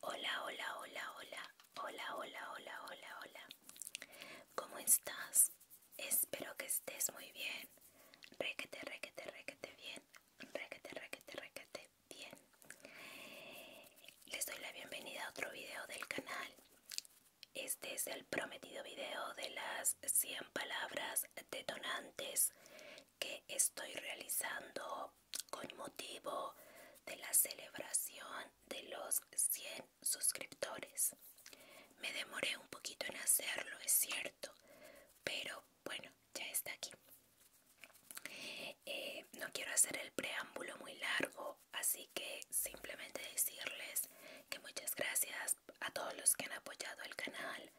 Hola, hola, hola, hola, hola, hola, hola, hola, hola. ¿Cómo estás? Espero que estés muy bien. Requete, requete, requete bien. Requete, requete, requete bien. Les doy la bienvenida a otro video del canal. Este es el prometido video de las 100 palabras detonantes que estoy realizando con motivo de la celebración de los 100 suscriptores. Me demoré un poquito en hacerlo, es cierto, pero bueno, ya está aquí. Eh, no quiero hacer el preámbulo muy largo así que simplemente decirles que muchas gracias a todos los que han apoyado el canal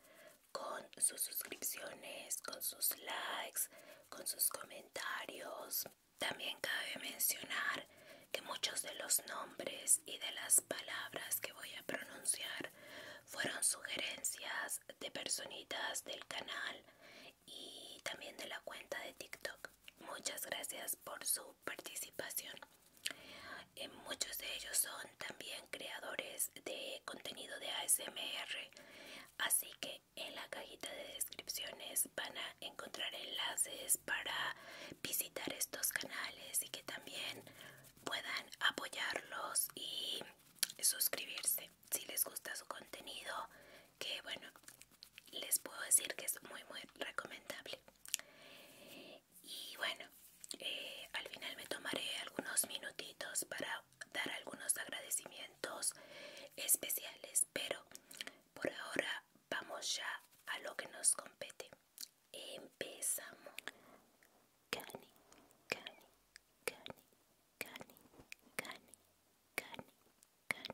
con sus suscripciones, con sus likes, con sus comentarios. También cabe mencionar que muchos de los nombres y de las palabras que voy a pronunciar fueron sugerencias de personitas del canal y también de la cuenta de TikTok. Muchas gracias por su participación. Eh, muchos de ellos son también creadores de contenido de ASMR, así que en la cajita de descripciones van a encontrar enlaces para visitar estos canales y que también puedan apoyarlos y suscribirse si les gusta su contenido que bueno les puedo decir que es muy muy recomendable y bueno eh, al final me tomaré algunos minutitos para dar algunos agradecimientos especiales pero por ahora vamos ya a lo que nos compete empezamos cani cani cani cani cani cani cani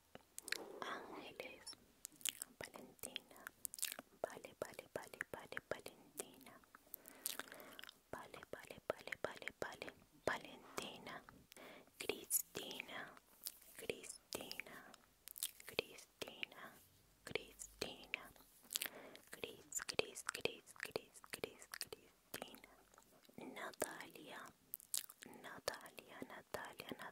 Ángeles, Valentina, vale, vale, vale, vale, Valentina, vale, vale, vale, vale, vale, Valentina, Cristina, Cristina, Cristina, Cristina, Cris, Cris, Cris, Cris, Cris, Cristina, Natalia, Natalia, Natalia, Natalia.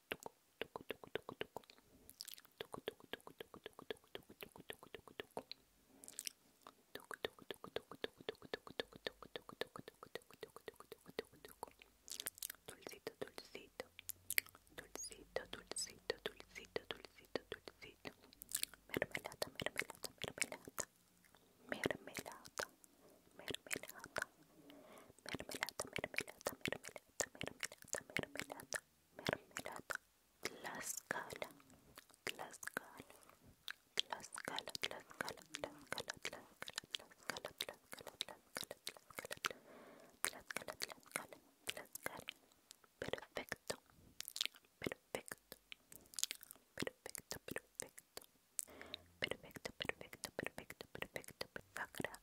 Dulcito, dulcito, dulcito, dulcito, dulcito, dulcito, dulcito, mermelada, mermelada, mermelada, mermelada, mermelada, mermelada, mermelada, mermelada. mermelada, mermelada, perfecto, perfecto, perfecto, perfecto, perfecto, perfecto, perfecto, perfecto,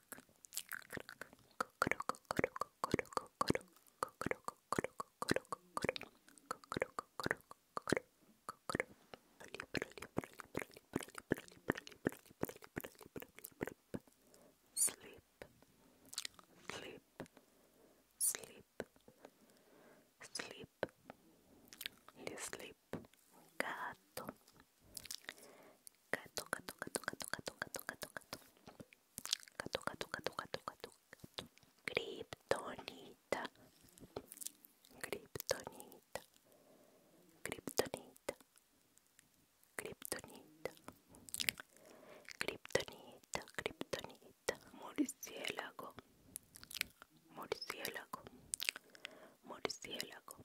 Sleep, sleep, sleep, sleep, you sleep, gato gato gato gato gato gato gato gato gato gato gato gato gato gato gato kriptonita kriptonita kriptonita kriptonita kriptonita kriptonita murciélago murciélago murciélago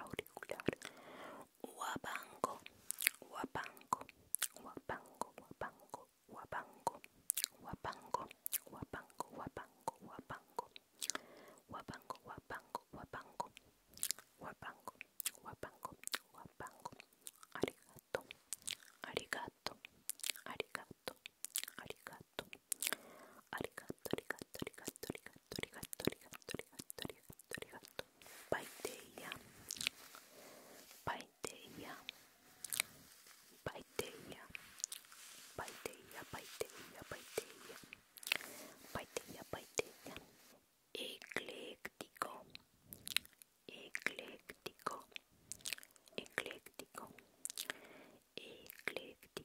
auricular wapango, wapango, wapango, wapango, wapango, wapango, wapango, wapango, wapango, wapango, wapango, wapango. ¡Gracias, arigato arigato arigato arigato arigato, Ecléctico, ecléctico, ecléctico, ecléctico.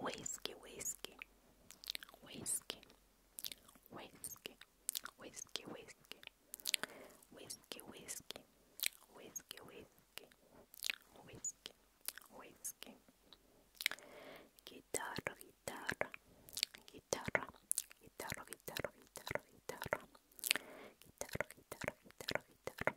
Whiskey, whiskey, whiskey, whiskey, whiskey, whiskey, whiskey, whiskey, whiskey, whiskey, whiskey, whiskey, guitarra, guitarra, guitarra, guitarra, guitarra, guitarra, guitarra, guitarra, guitarra, guitarra, guitarra.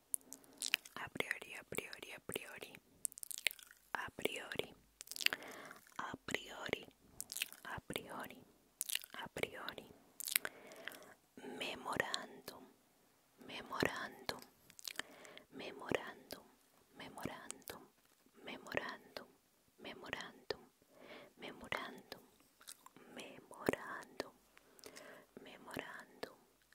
a priori, a priori, a priori, a priori, a priori, a priori, a priori, memorando, memorando, memorando, memorando, memorando, memorando, memorando, memorando, memorando.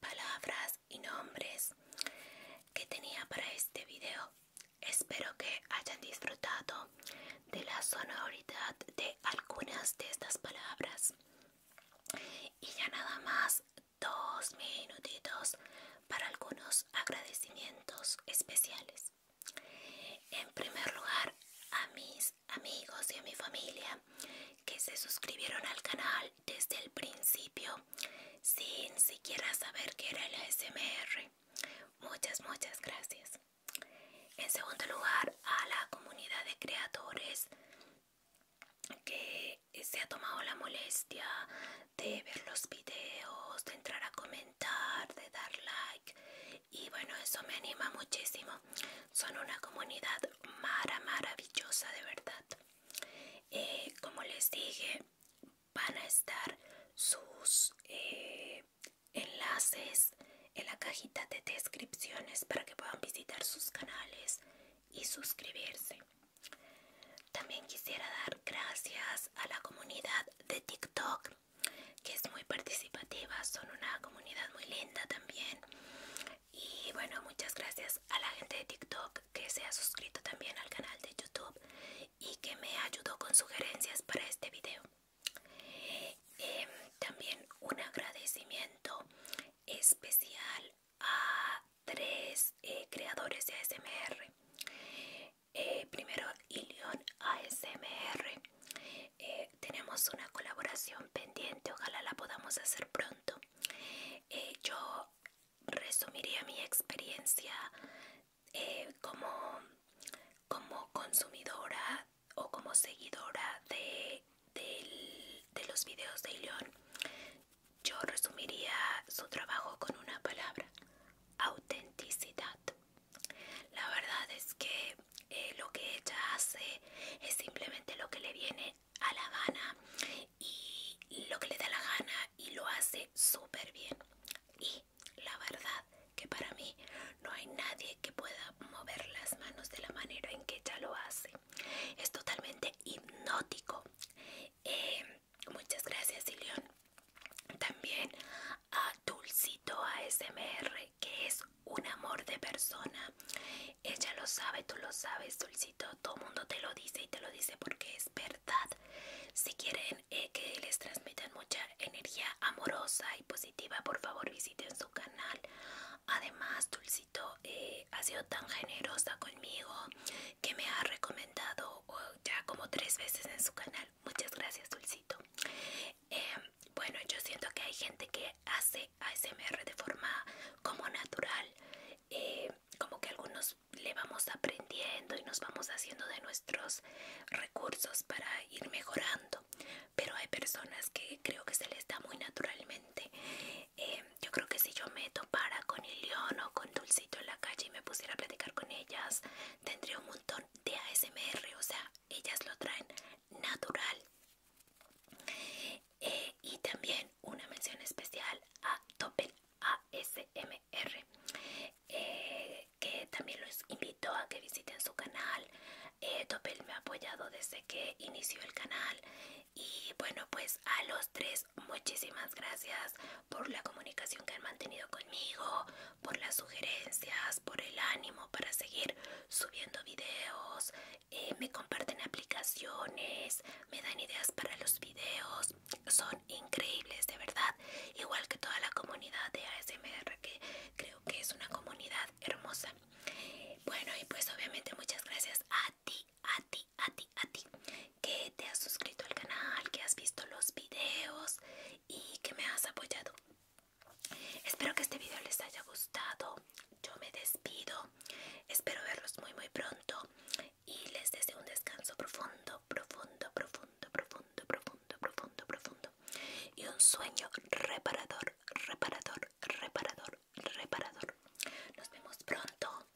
palabras y nombres que tenía para este video. Espero que hayan disfrutado de la sonoridad de algunas de estas palabras. Y ya nada más dos minutitos para algunos agradecimientos especiales. En primer lugar, a mis amigos y a mi familia que se suscribieron al canal desde el principio sin siquiera saber qué era el ASMR. Muchas, muchas gracias. En segundo lugar, a la comunidad de creadores que se ha tomado la molestia de ver los videos, de entrar a comentar, de dar like. Y bueno, eso me anima muchísimo. Son una comunidad maravillosa, de verdad. Eh, como les dije van a estar sus eh, enlaces en la cajita de descripciones para que puedan visitar sus canales y suscribirse también quisiera dar gracias a la comunidad de tiktok que es muy participativa son una comunidad muy linda también y bueno, muchas gracias a la gente de TikTok que se ha suscrito también al canal de YouTube y que me ayudó con sugerencias para este video. Em, también un agradecimiento especial a tres eh, creadores de ASMR. Eh, primero, Ilion ASMR. Eh, tenemos una colaboración pendiente, ojalá la podamos hacer pronto. Eh, yo resumiría mi experiencia eh, como, consumidora o como seguidora de, los videos de Ilion Yo resumiría su trabajo con una palabra, autenticidad. La verdad es que eh, lo que ella hace es simplemente lo que le viene a La gana y lo que le da la gana y lo hace súper bien. Y la verdad que para mí no hay nadie que pueda mover las manos de la manera en que ella lo hace. Es totalmente hipnótico. Eh, muchas gracias, Ilion. También a Dulcito ASMR, que es un amor de persona. Ella lo sabe, tú lo sabes, Dulcito todo mundo te lo dice y te lo dice porque es verdad. Si quieren eh, que les transmitan mucha energía amorosa y positiva, por favor visiten su canal. Además, Dulcito eh, ha sido tan generosa conmigo que me ha recomendado ya como tres veces en su canal. Muchas gracias, Dulcito. Em, bueno, yo siento que hay gente que hace ASMR de forma como natural eh, como que algunos le vamos aprendiendo y nos vamos haciendo de nuestros recursos para ir mejorando pero hay personas que creo que se les da muy naturalmente eh, yo creo que si yo me topara con el león o con Dulcito en la calle y me pusiera a platicar con ellas tendría un montón de ASMR o sea ellas lo traen natural eh, y también una mención especial a Topel ASMR eh, que también los invito a que visiten su canal eh, Topel me ha apoyado desde que inició el canal y bueno pues a los tres muchísimas gracias por la comunicación que han mantenido conmigo por las sugerencias por el ánimo para seguir subiendo videos eh, me comparten aplicaciones, me dan ideas para los videos, son increíbles de verdad, igual que toda la comunidad de ASMR que creo que es una comunidad hermosa. Bueno y pues obviamente muchas gracias a ti, a ti, a ti, a ti que te has suscrito al canal, que has visto los videos y que me has apoyado. Espero que este video les haya gustado yo me despido. Espero verlos muy muy pronto y les deseo un descanso profundo, profundo, profundo, profundo, profundo, profundo, profundo y un sueño reparador, reparador, reparador, reparador. Nos vemos pronto.